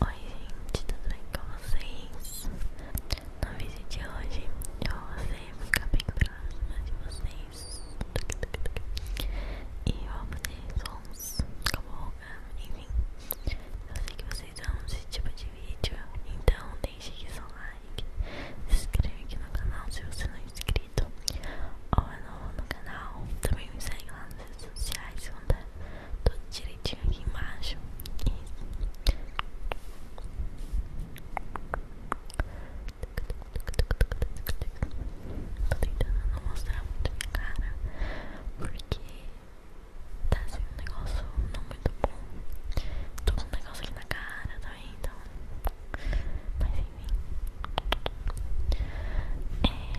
Oi gente, tudo bem com vocês? No vídeo de hoje eu vou fazer ficar bem próxima de vocês E vou fazer sons como enfim, eu sei que vocês amam esse tipo de vídeo, então deixe aqui seu like, se inscreva aqui no canal se você não é inscrito ou é novo no canal, também me segue lá nas redes sociais, vão estar tudo direitinho aqui embaixo. E... Tô tentando não mostrar muito minha cara, porque tá sendo um negócio não muito bom. Tô com um negócio aqui na cara também, então. Mas enfim. É.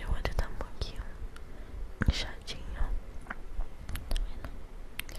eu vou tá um pouquinho inchadinho. Tá vendo?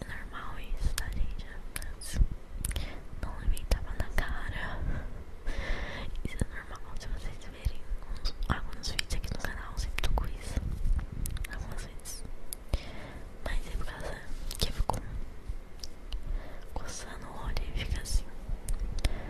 É normal isso, tá, gente? Mas é não levei tapa na cara. Isso é normal. Se vocês verem alguns, alguns vídeos aqui no canal, eu sempre tô com isso. Algumas vezes. Mas é por causa que eu fico coçando o olho e fica assim.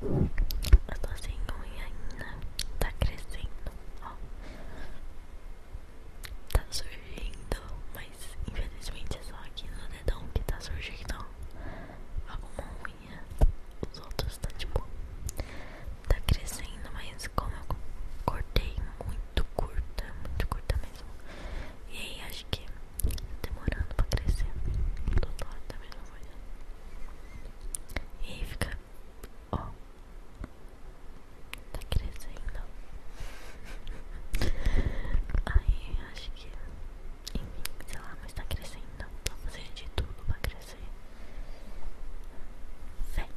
Eu tô sem unha ainda. Tá crescendo, ó. Tá surgindo, mas infelizmente é só aqui no dedão que tá surgindo alguma unha. Os outros tá tipo. Tá crescendo, mas como eu cortei muito curta, muito curta mesmo. E aí, acho que demorando pra crescer. Do lado da mesma coisa. E aí fica. Ó. Tá crescendo. Aí acho que. Enfim, sei lá, mas tá crescendo. Vou fazer de tudo pra crescer. Vem.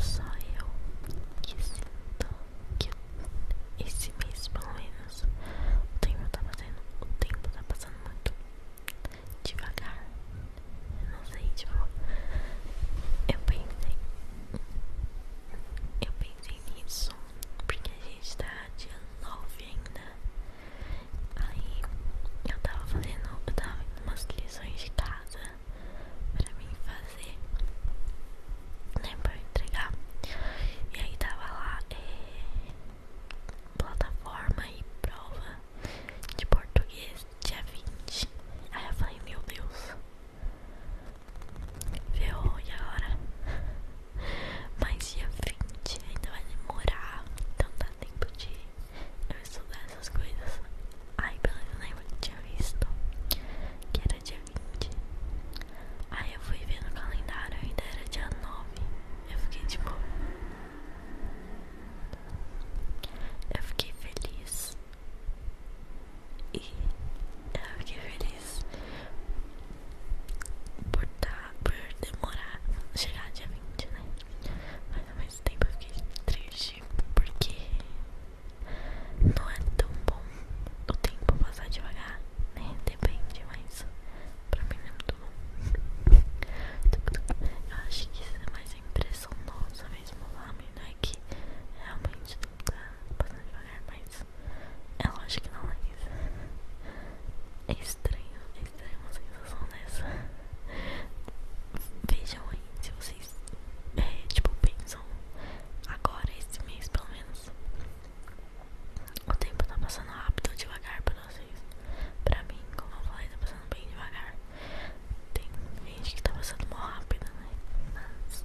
Só eu que sinto que esse mês, pelo menos, o tempo tá passando, tempo tá passando muito devagar. Eu não sei, tipo, eu pensei, eu pensei nisso porque a gente tá dia 9 ainda. Aí eu tava fazendo, eu tava umas lições de casa pra mim fazer, né? Pra eu entregar. E aí tava lá, é, plataforma e prova de português, dia 20. Aí eu falei, meu Deus, Ferrou, e agora? Mas dia 20 ainda vai demorar, então dá tempo de eu estudar essas coisas. Ai, pelo beleza, lembro que tinha visto que era dia 20. Aí eu fui ver no calendário, ainda era dia 9. Eu fiquei tipo. Eu fiquei feliz. E eu fiquei feliz por, tá, por demorar chegar dia 20, né? Mas ao mesmo tempo eu fiquei triste porque não é tão bom o tempo passar devagar, né? Depende, mas pra mim não é muito bom. Eu acho que isso é mais impressão nossa mesmo lá, né? Que realmente Passando devagar, mas é lógico que não é isso. É estranho, é estranho uma sensação dessa. Vejam aí se vocês, é, tipo, pensam agora, esse mês pelo menos. O tempo tá passando rápido ou devagar pra vocês. Pra mim, como eu falei, tá passando bem devagar. Tem gente que tá passando mal rápido, né? Mas.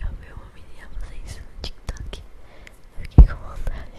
Eu vi uma menina fazer isso no TikTok. Eu fiquei com vontade.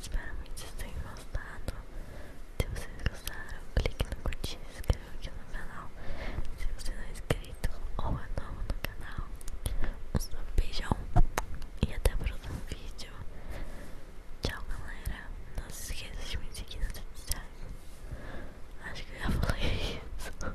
Espero muito que vocês tenham gostado. Se vocês gostaram, clique no curtir, inscreva aqui no canal. Se você não é inscrito ou é novo no canal, um beijão e até o próximo vídeo. Tchau, galera. Não se esqueça de me seguir nas redes sociais. Acho que eu já falei isso.